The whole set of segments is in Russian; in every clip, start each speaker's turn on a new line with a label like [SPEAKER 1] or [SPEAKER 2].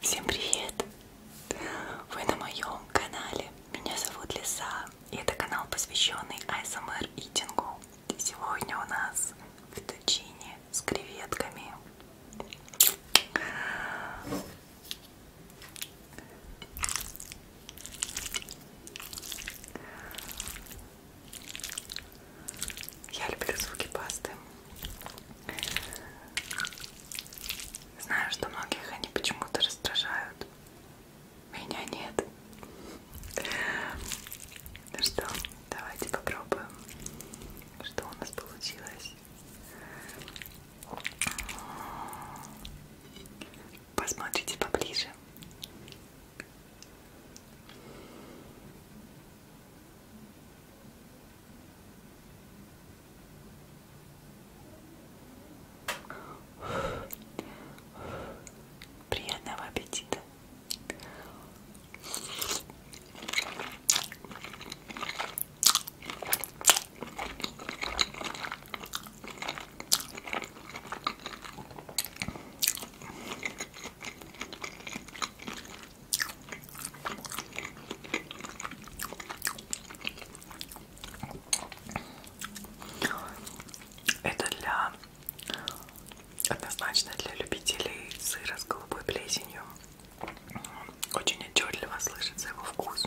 [SPEAKER 1] Всем привет! Вы на моем канале. Меня зовут Лиса. И это канал, посвященный ASMR Eating. Сегодня у нас фетучини с креветками. Я люблю звуки пасты. Знаю, что многих они почему-то раздражают. Меня нет. Ну что, давайте попробуем, что у нас получилось. Посмотрите поближе. Приятного аппетита. Это для однозначно для любителей сыра с голубой плесенью. Очень отчетливо слышится его вкус.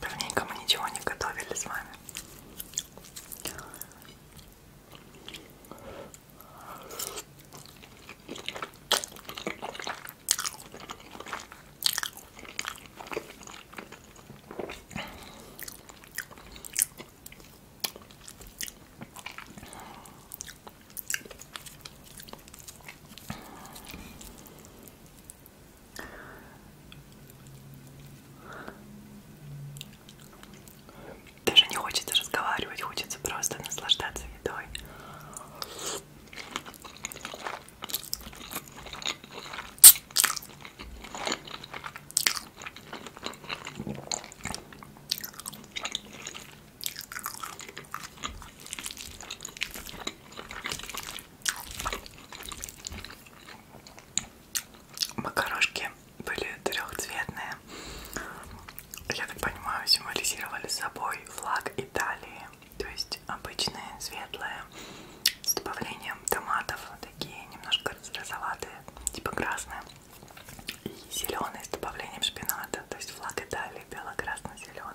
[SPEAKER 1] Давненько мы ничего не готовили с вами. Даже не хочется разговаривать, хочется просто наслаждаться едой. Макарошки были трехцветные. Я так понимаю, символизировали собой флаг Италии. То есть обычные, светлые, с добавлением томатов, такие немножко розоватые, типа красные. И зеленые с добавлением шпината. То есть флаг Италии бело-красно-зеленый.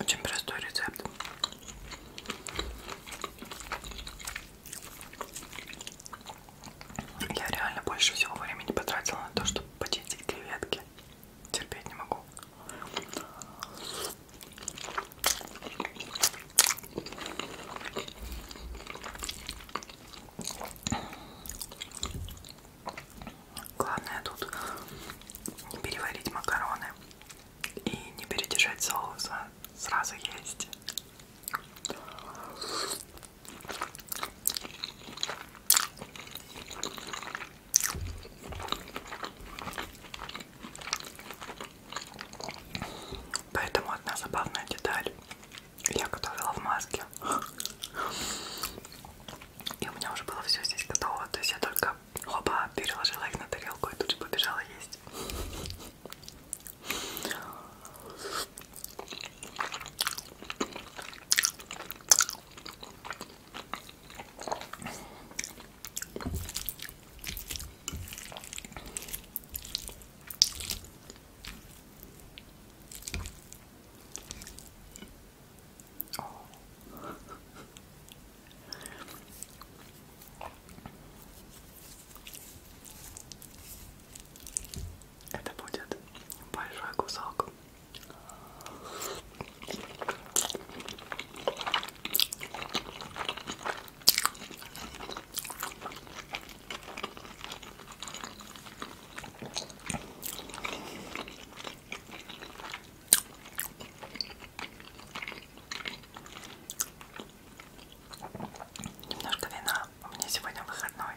[SPEAKER 1] Очень простой рецепт. Я реально больше всего времени потратила на то, чтобы почистить креветки терпеть не могу. Главное тут не переварить макароны и не передержать соуса, сразу есть. Поэтому одна забавная деталь. Я готовила в маске. И у меня уже было все здесь готово. То есть я только хоба переложила их на тарелку и тут же побежала есть. Это будет большой кусок Немножко вина. У меня сегодня выходной.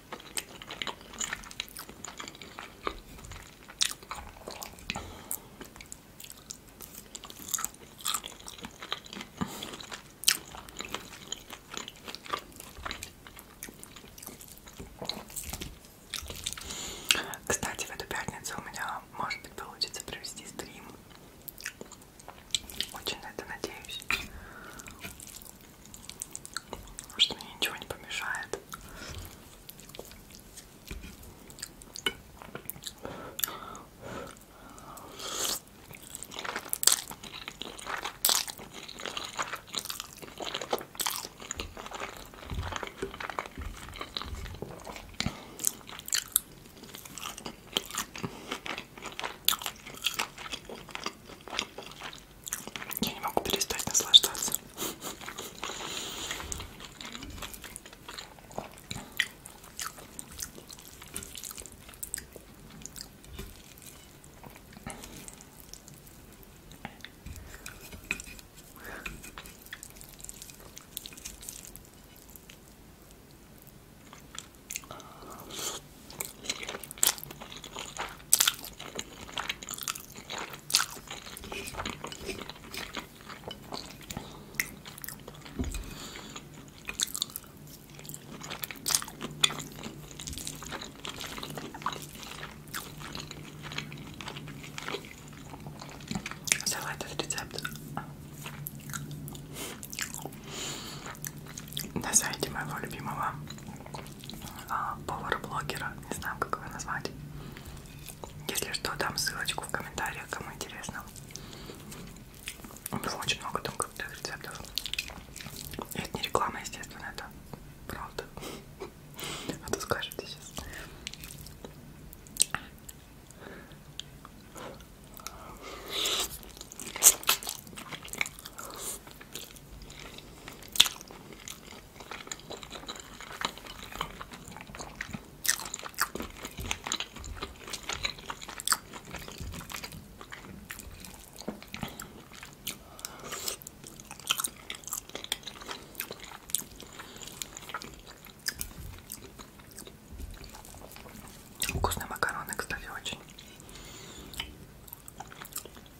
[SPEAKER 1] Кстати, в эту пятницу у меня, может быть, получится провести стрим. Очень на это надеюсь что мне ничего не помешает. Я не могу перестать наслаждаться. Взяла этот рецепт на сайте моего любимого а, повара-блогера, не знаю, как его назвать. Если что, дам ссылочку в комментариях, кому интересно. У него очень много там крутых рецептов. И это не реклама, естественно, это правда. А то скажете сейчас. Вкусные макароны, кстати, очень.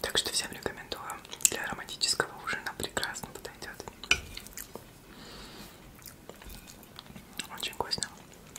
[SPEAKER 1] Так что всем рекомендую. Для ароматического ужина прекрасно подойдет. Очень вкусно.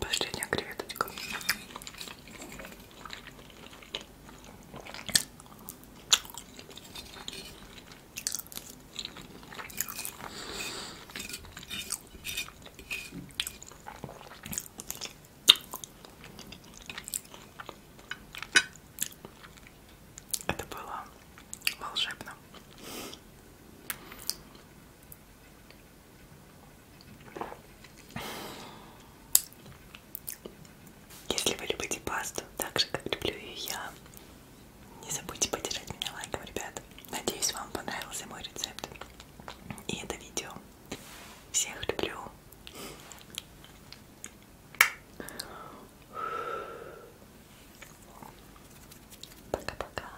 [SPEAKER 1] Последняя креветочка. Это было волшебно. Если вы любите пасту так же, как люблю ее я, не забудьте поддержать меня лайком, ребят. Надеюсь, вам понравился мой рецепт и это видео. Всех люблю. Пока-пока.